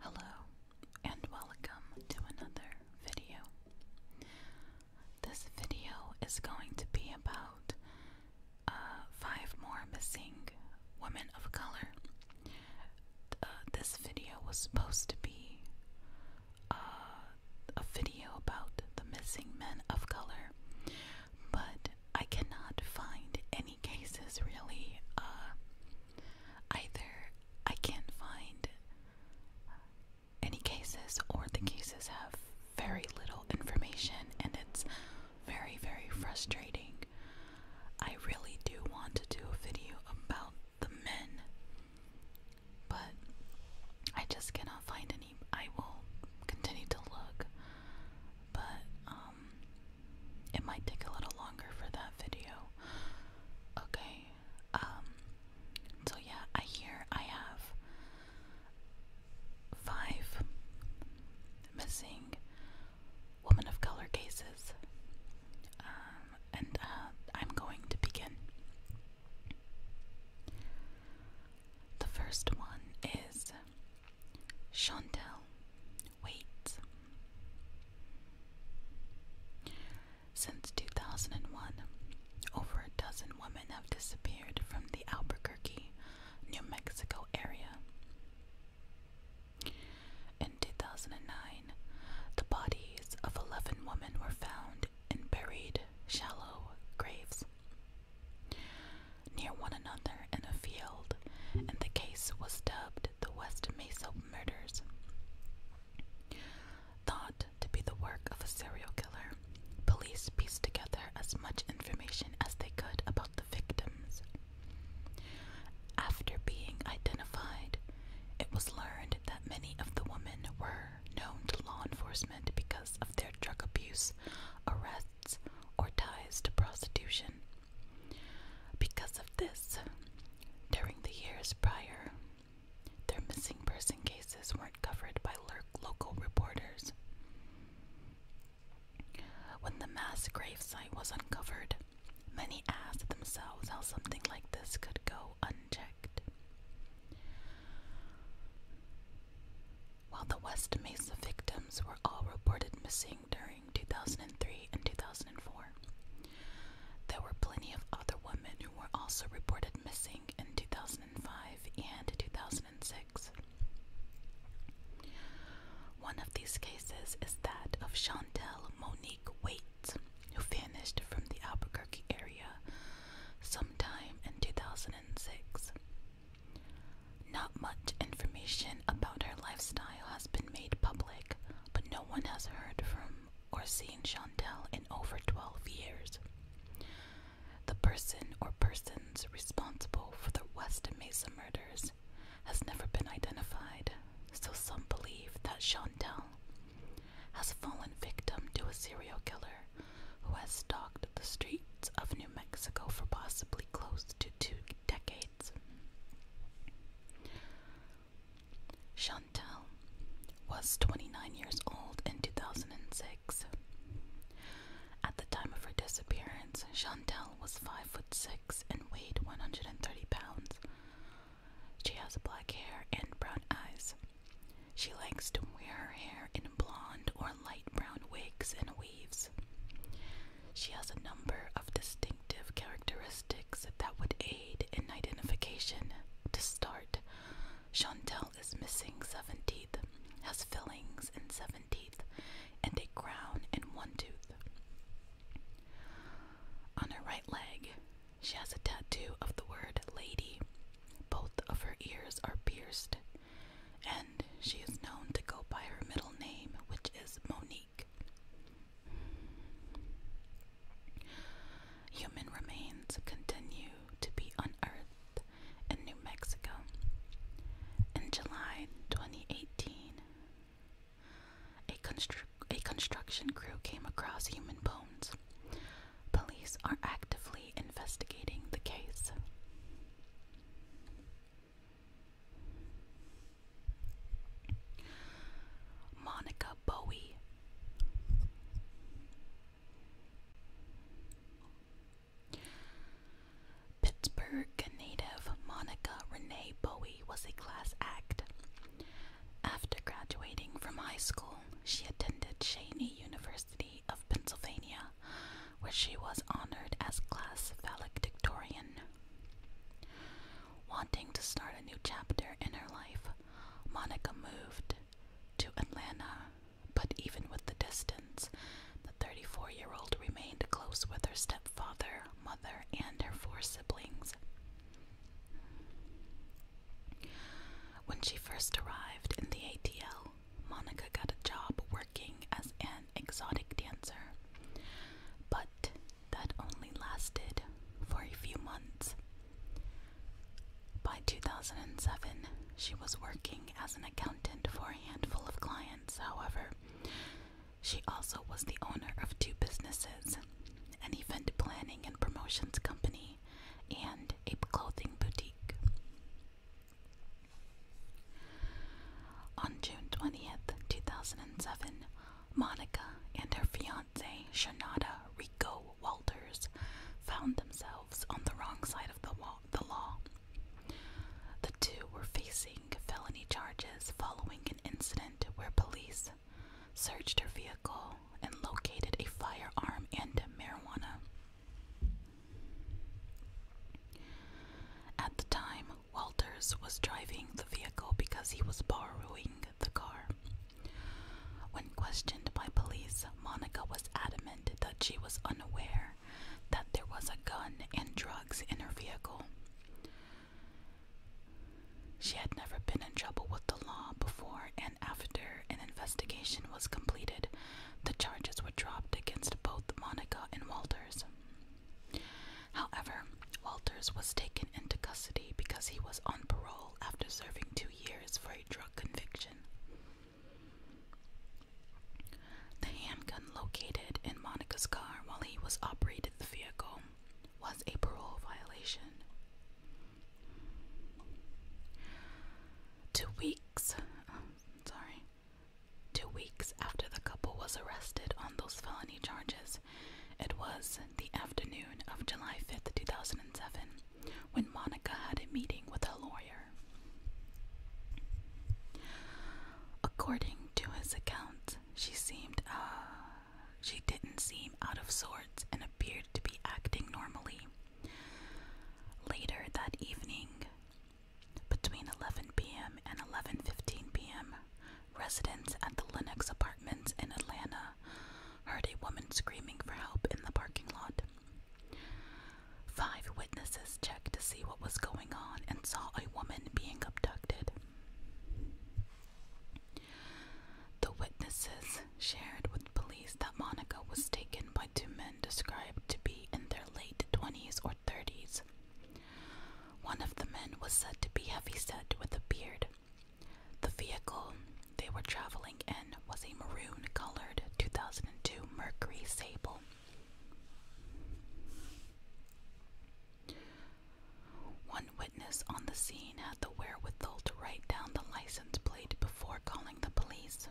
Hello and welcome to another video. This video is going to be about uh, five more missing women of color uh, this video was supposed to be uh, a video about the missing men of color, but I cannot find any cases really. Uh, either I can't find any cases, or the cases have very little information, and it's very, very frustrating. I really do want to do a video about the men. But I just cannot find any. I will continue to look, but um, it might take a little longer for that video. Okay. Um. So yeah, I hear I have five missing women of color cases. Um, and uh, I'm going to begin. The first one is Chantel. Wait. Since 2001, over a dozen women have disappeared from the Albuquerque, New Mexico area. In 2009, the bodies of 11 women were found in buried shallow graves near one another in a field, and the case was dubbed the West Mesa Murders. Thought to be the work of a serial killer, police pieced together as much information as they could about the victims after being identified, it was learned that many of the women were known to law enforcement because of their drug abuse, arrests, or ties to prostitution. Because of this, during the years prior, their missing person cases weren't covered by local reporters. When the mass grave site was uncovered, Many asked themselves how something like this could go unchecked. While the West Mesa victims were all reported missing during 2003 and 2004, there were plenty of other women who were also reported missing in 2005 and 2006. One of these cases is that of Chantel Monique Waite, who vanished from the Albuquerque area sometime in 2006. Not much information about her lifestyle has been made public, but no one has heard from or seen Chantel in over 12 years. The person or persons responsible for the West Mesa murders has never been identified, so some believe that Chantal has fallen victim to a serial killer who has stalked the streets of New Mexico for possibly close to two decades. Chantal was 29 years old in 2006. At the time of her disappearance, Chantal was 5 foot 6 and weighed 130 pounds. She has black hair and brown eyes. She likes to wear her hair in blonde or light brown wigs and weaves. She has a number of distinctive characteristics that would aid in identification. To start, Chantel is missing seven teeth, has fillings in seven teeth, and a crown in one tooth. On her right leg, she has a tattoo of the word lady. Both of her ears are pierced, and she is known to go by her middle name, which is Monique. Human remains continue to be unearthed in New Mexico. In July 2018, a, constru a construction crew came across human bones. Police are actively investigating the case. Monica Bowie. Pittsburgh native Monica Renee Bowie Bowie was a class act. After graduating from high school, she attended Cheney University of Pennsylvania, where she was honored as class valedictorian. Wanting to start a new chapter in her life, Monica moved to Atlanta, but even with the distance, the 34 year old remained close with her stepfather mother, and her four siblings. When she first arrived in the ATL, Monica got a job working as an exotic dancer, but that only lasted for a few months. By 2007, she was working as an accountant for a handful of clients, however, she also was the owner of two businesses an event planning and promotions company and a clothing boutique. On June 20th, 2007, Monica and her fiance, Shanada Rico Walters, found themselves on the wrong side of the, law. The two were facing felony charges following an incident where police searched her vehicle and located a firearm and marijuana. At the time, Walters was driving the vehicle because he was borrowing the car. When questioned by police, Monica was adamant that she was unaware that there was a gun and drugs in her vehicle. She had never been in trouble with the law before, and after an investigation was completed, the charges were dropped against both Monica and Walters. However, Walters was taken into custody because he was on parole after serving two years for a drug conviction. The handgun located in Monica's car while he was operated the vehicle was a parole violation. Two weeks, sorry, two weeks after the couple was arrested on those felony charges, it was the afternoon of July 5th, 2007, when Monica had a meeting with her lawyer. According to his account, she seemed, uh, she didn't seem out of sorts and appeared to be acting normally. Later that evening, between 11 p.m. and 11:15 p.m., residents at the Lennox Apartments in Atlanta heard a woman screaming for help in the parking lot. Five witnesses checked to see what was going on and saw a woman being abducted. The witnesses shared with police that Monica was taken by two men described to be in their late 20s or 30s. One of the men was said to be heavyset with a beard. The vehicle they were traveling in was a maroon colored 2002 Mercury Sable. One witness on the scene had the wherewithal to write down the license plate before calling the police.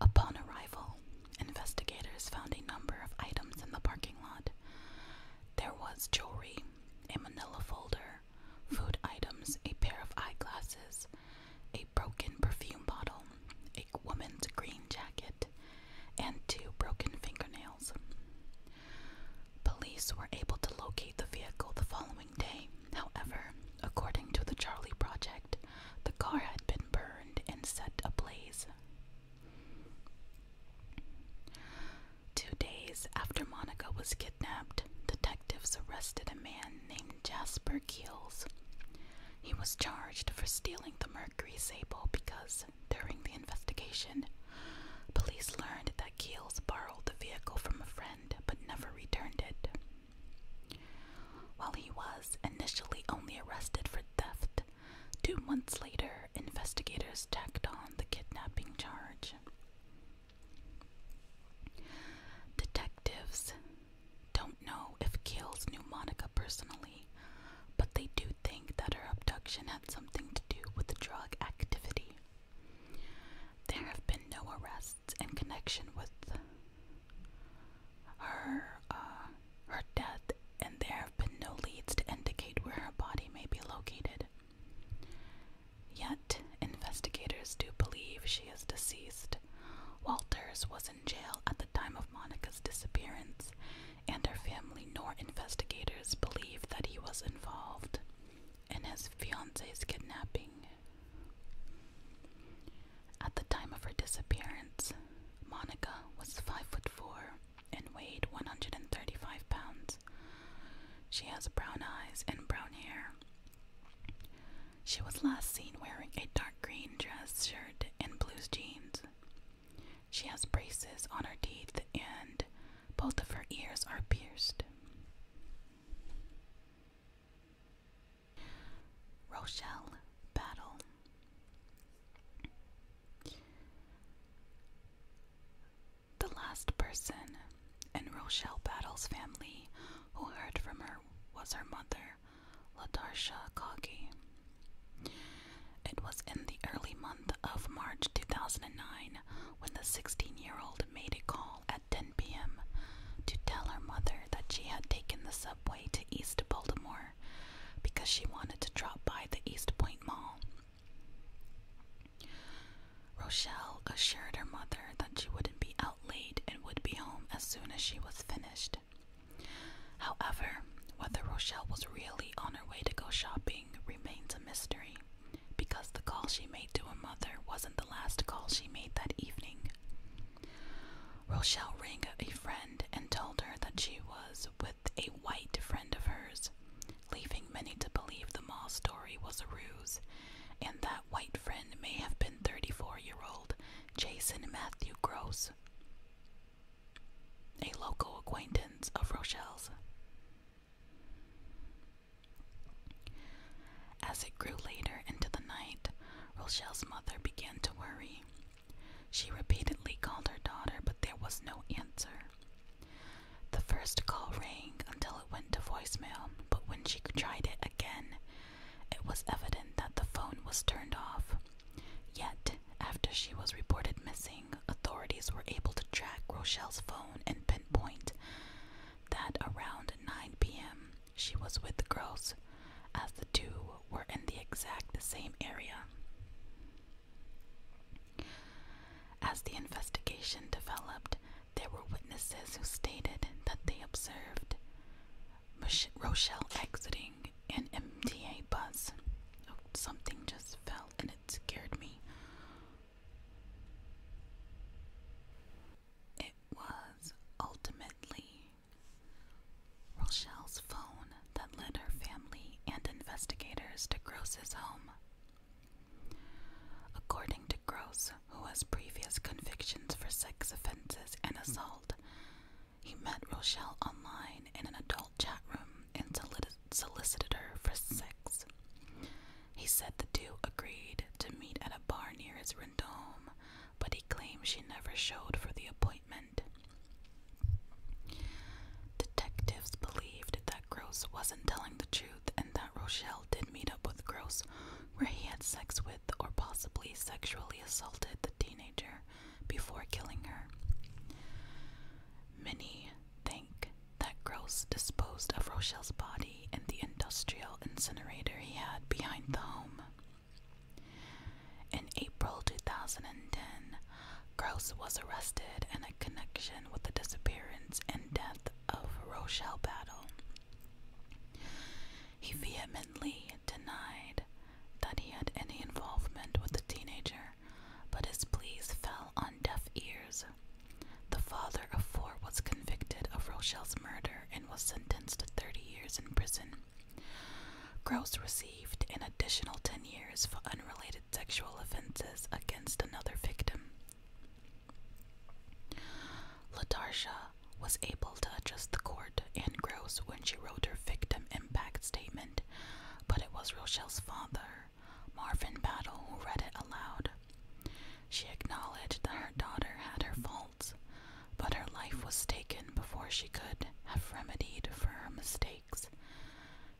Upon arrival, investigators found a number of items in the parking lot. There was jewelry, a manila folder, food items, a pair of eyeglasses, a broken perfume bottle, a woman's green jacket and two broken fingernails. Police were able to locate the vehicle the following day. However, according to the Charlie Project, the car had been burned and set ablaze. Two days after Monica was kidnapped, detectives arrested a man named Jasper Keels. He was charged for stealing the Mercury Sable because during the investigation. Police learned that Keels borrowed the vehicle from a friend but never returned it. While he was initially only arrested for theft, two months later, investigators tacked on the kidnapping charge. Detectives don't know if Keels knew Monica personally but they do think that her abduction had something to do with the drug activity. There have been no arrests in connection with her uh, her death, and there have been no leads to indicate where her body may be located. Yet, investigators do believe she is deceased. Walters was in jail at the time of Monica's disappearance and her family nor investigators believe that he was involved in his fiance's kidnapping. At the time of her disappearance, Monica was five foot four and weighed 135 pounds. She has brown eyes and brown hair. She was last seen wearing a dark green dress shirt and blue jeans. She has braces on her teeth and both of her ears are pierced. Rochelle Battle. The last person in Rochelle Battle's family who heard from her was her mother, Latarsha Coggy. It was in the early month of March 2009 when the 16 year old made a call at 10 p.m. to tell her mother that she had taken the subway to East Baltimore because she wanted to drop by the East Point Mall. Rochelle assured her mother that she wouldn't be out late and would be home as soon as she was finished. However, whether Rochelle was really on her way to go shopping remains a mystery, because the call she made to her mother wasn't the last call she made that evening. Rochelle rang a friend and told her that she was with a white friend of hers, leaving many to believe the mall story was a ruse, and that white friend may have been 34 year old Jason Matthew Gross a local acquaintance of Rochelle's. As it grew later into the night, Rochelle's mother began to worry. She repeatedly called her daughter, but there was no answer. The first call rang until it went to voicemail, but when she tried it again, it was evident that the phone was turned off. Yet after she was reported missing, authorities were able to track Rochelle's phone and pinpoint that around 9 p.m. she was with the girls, as the two were in the exact same area. As the investigation developed, there were witnesses who stated that they observed Rochelle exiting an MTA bus. something just fell and it scared me. It was ultimately Rochelle's phone that led her family and investigators to Gross's home. According to Gross, who has previous convictions for sex offenses and assault, he met Rochelle online in an adult chat room and solicited her for sex. He said the two agreed to meet at a bar near his rent home, but he claimed she never showed for the appointment. Detectives believed that Gross wasn't telling the truth and that Rochelle did meet up with Gross, where he had sex with or possibly sexually assaulted the teenager before killing her. Many think that Gross disposed of Rochelle's body in the industrial incinerator he had behind the home. In April 2010, Gross was arrested in a connection with the disappearance and death of Rochelle Battle. He vehemently denied that he had any involvement with the teenager, but his pleas fell on deaf ears. The father of four was convicted of Rochelle's murder and was sentenced to 30 years in prison. Gross received an additional 10 years for unrelated sexual offenses against another victim. Latarsha was able to adjust the court and Gross when she wrote her victim impact statement, but it was Rochelle's father, Marvin Battle, who read it aloud. She acknowledged that her daughter had her faults, but her life was taken before she could have remedied for her mistakes.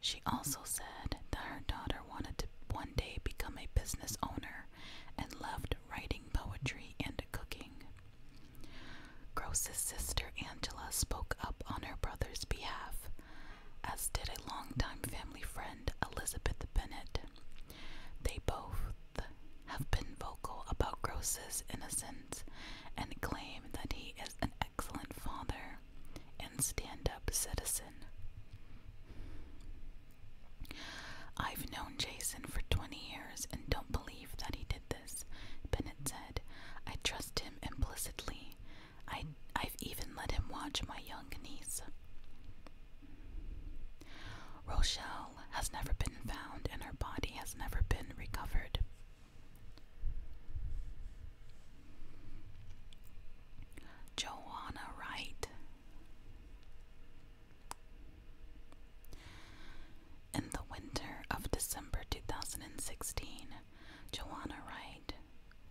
She also said that her daughter wanted to one day become a business owner and loved writing poetry and cooking. Gross's sister Angela spoke up on her brother's behalf, as did a longtime family friend Elizabeth Bennett. They both have been vocal about Gross's innocence and claim that he is an excellent father and stand up citizen. I've known Jason for 20 years and don't believe that he did this, Bennett said. I trust him implicitly. I, I've even let him watch my young niece. Rochelle has never been found, and her body has never been recovered. Joanna Wright. In the winter of December 2016, Joanna Wright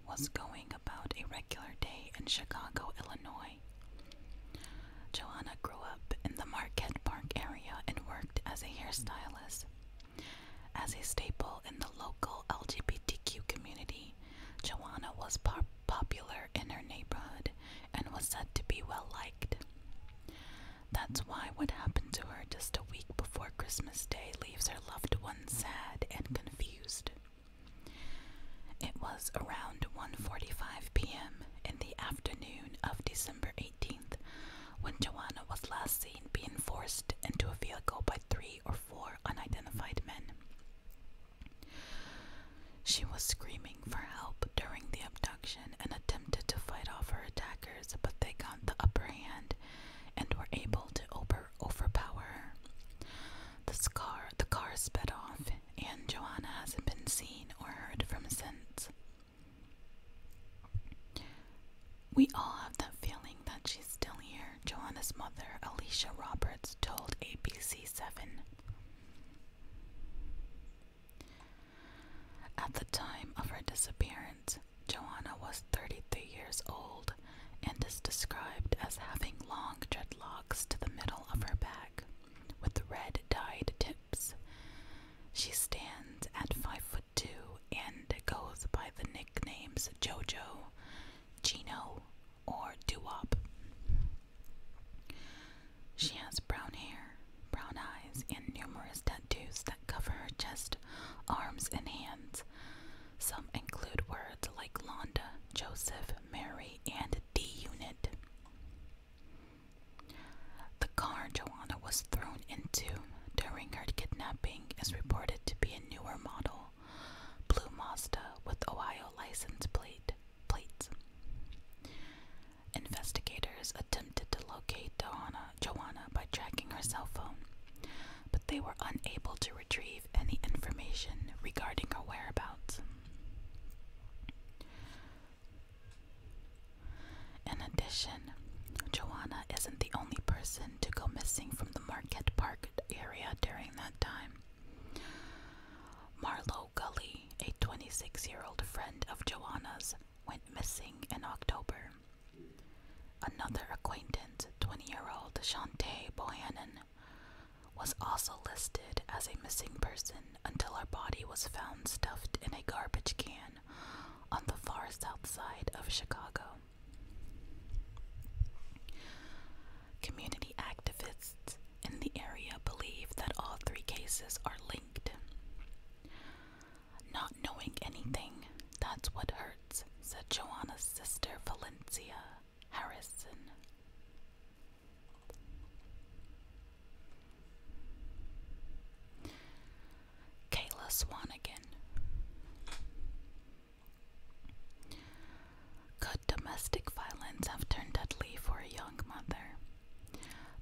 was going about a regular day in Chicago, Illinois. Joanna grew up in the Marquette Park area and worked as a hairstylist. As a staple in the local LGBTQ community, Joanna was popular in her neighborhood and was said to be well liked. That's why what happened to her just a week before Christmas Day leaves her loved ones sad and confused. It was around 1:45 p.m. in the afternoon of December 18th when Joanna was last seen being forced into a vehicle by three or four unidentified men. She was screaming for help during the abduction and attempted to fight off her attackers, but they got the upper hand and were able to overpower her. The, scar, the car sped off, and Joanna hasn't been seen or heard from since. We all have that feeling that she's still here, Joanna's mother, Alicia Roberts, told ABC7. At the time of her disappearance, Joanna was 33 years old and is described as having long dreadlocks to the middle of her back with red dyed tips. She stands at 5 foot 2 and goes by the nicknames JoJo, Gino, or Duop. She has brown hair, brown eyes, and numerous tattoos that cover her chest, arms, and hands. Some include words like Londa, Joseph, Mary, and D Unit. The car Joanna was thrown into during her kidnapping is reported to be a newer model, blue Mazda with Ohio license plate plates. Investigators attempted to locate Doana, Joanna by tracking her cell phone, but they were unable to retrieve any information regarding her whereabouts. In addition, Joanna isn't the only person to go missing from the Marquette Park area during that time. Marlo Gully, a 26 year old friend of Joanna's, went missing in October. Another acquaintance, 20 year old Shantay Bohannon, was also listed as a missing person until her body was found stuffed in a garbage can on the far south side of Chicago. Community activists in the area believe that all three cases are linked. Not knowing anything, that's what hurts, said Joanna's sister Valencia Harrison. Kayla Swanigan. Could domestic violence have turned deadly for a young mother?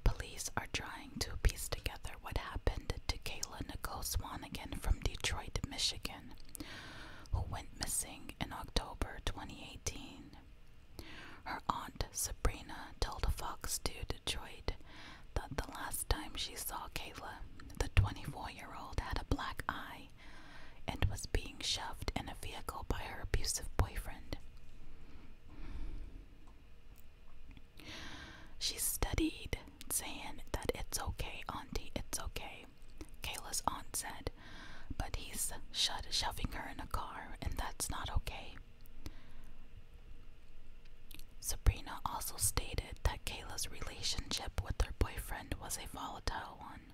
Police are trying to piece together what happened to Kayla Nicole Swanigan from Detroit, Michigan, who went missing in October 2018. Her aunt Sabrina told Fox 2 Detroit that the last time she saw Kayla, the 24 year old had a black eye and was being shoved in a vehicle by her abusive boyfriend. She studied, saying that it's okay, Auntie, it's okay. Kayla's aunt said, but he's shoving her in a car, and that's not okay. Sabrina also stated that Kayla's relationship with her boyfriend was a volatile one,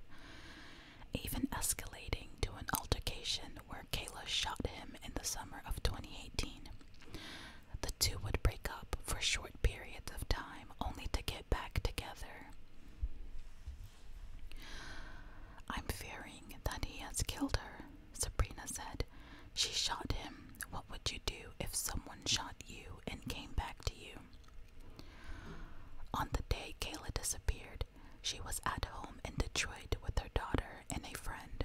even escalating to an altercation where Kayla shot him in the summer of 2018. The two would break up for short periods of time only to get back together. I'm fearing that he has killed her, Sabrina said. She shot him. What would you do if someone shot you and came back to you? On the day Kayla disappeared, she was at home in Detroit with her daughter and a friend.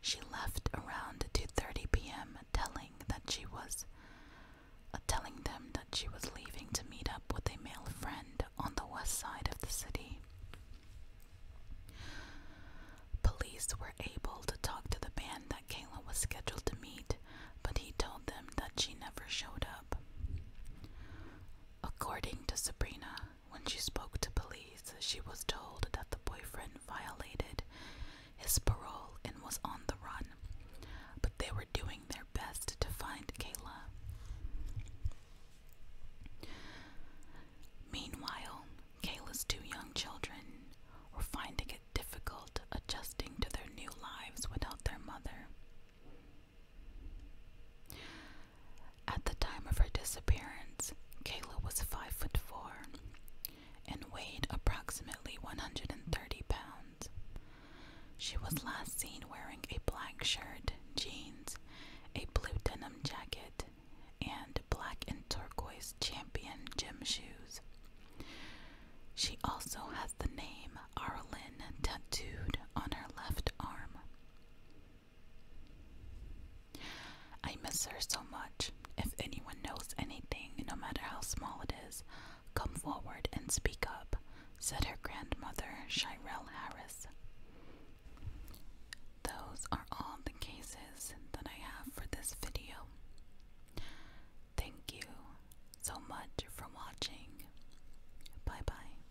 She left around 2:30 p.m. telling that she was uh, telling them that she was leaving to meet up with a male friend on the west side of the city. Police were able to talk to the man that Kayla was scheduled to meet, but he told them that she never showed up. According to Sabrina, when she spoke to police, she was told that the boyfriend violated his parole and was on the run, but they were doing their best to find Kayla. Meanwhile, Kayla's two young children were finding it difficult adjusting to their new lives without their mother. At the time of her disappearance, Kayla was five foot four and weighed approximately 130 pounds. She was last seen wearing a black shirt, jeans, a blue denim jacket, and black and turquoise champion gym shoes. She also has the name Arlyn tattooed on her left arm. I miss her so much. If anyone knows anything, no matter how small it is, come forward and speak up, said her grandmother, Shirel Harris. Those are all the cases that I have for this video. Thank you so much for watching. Bye bye.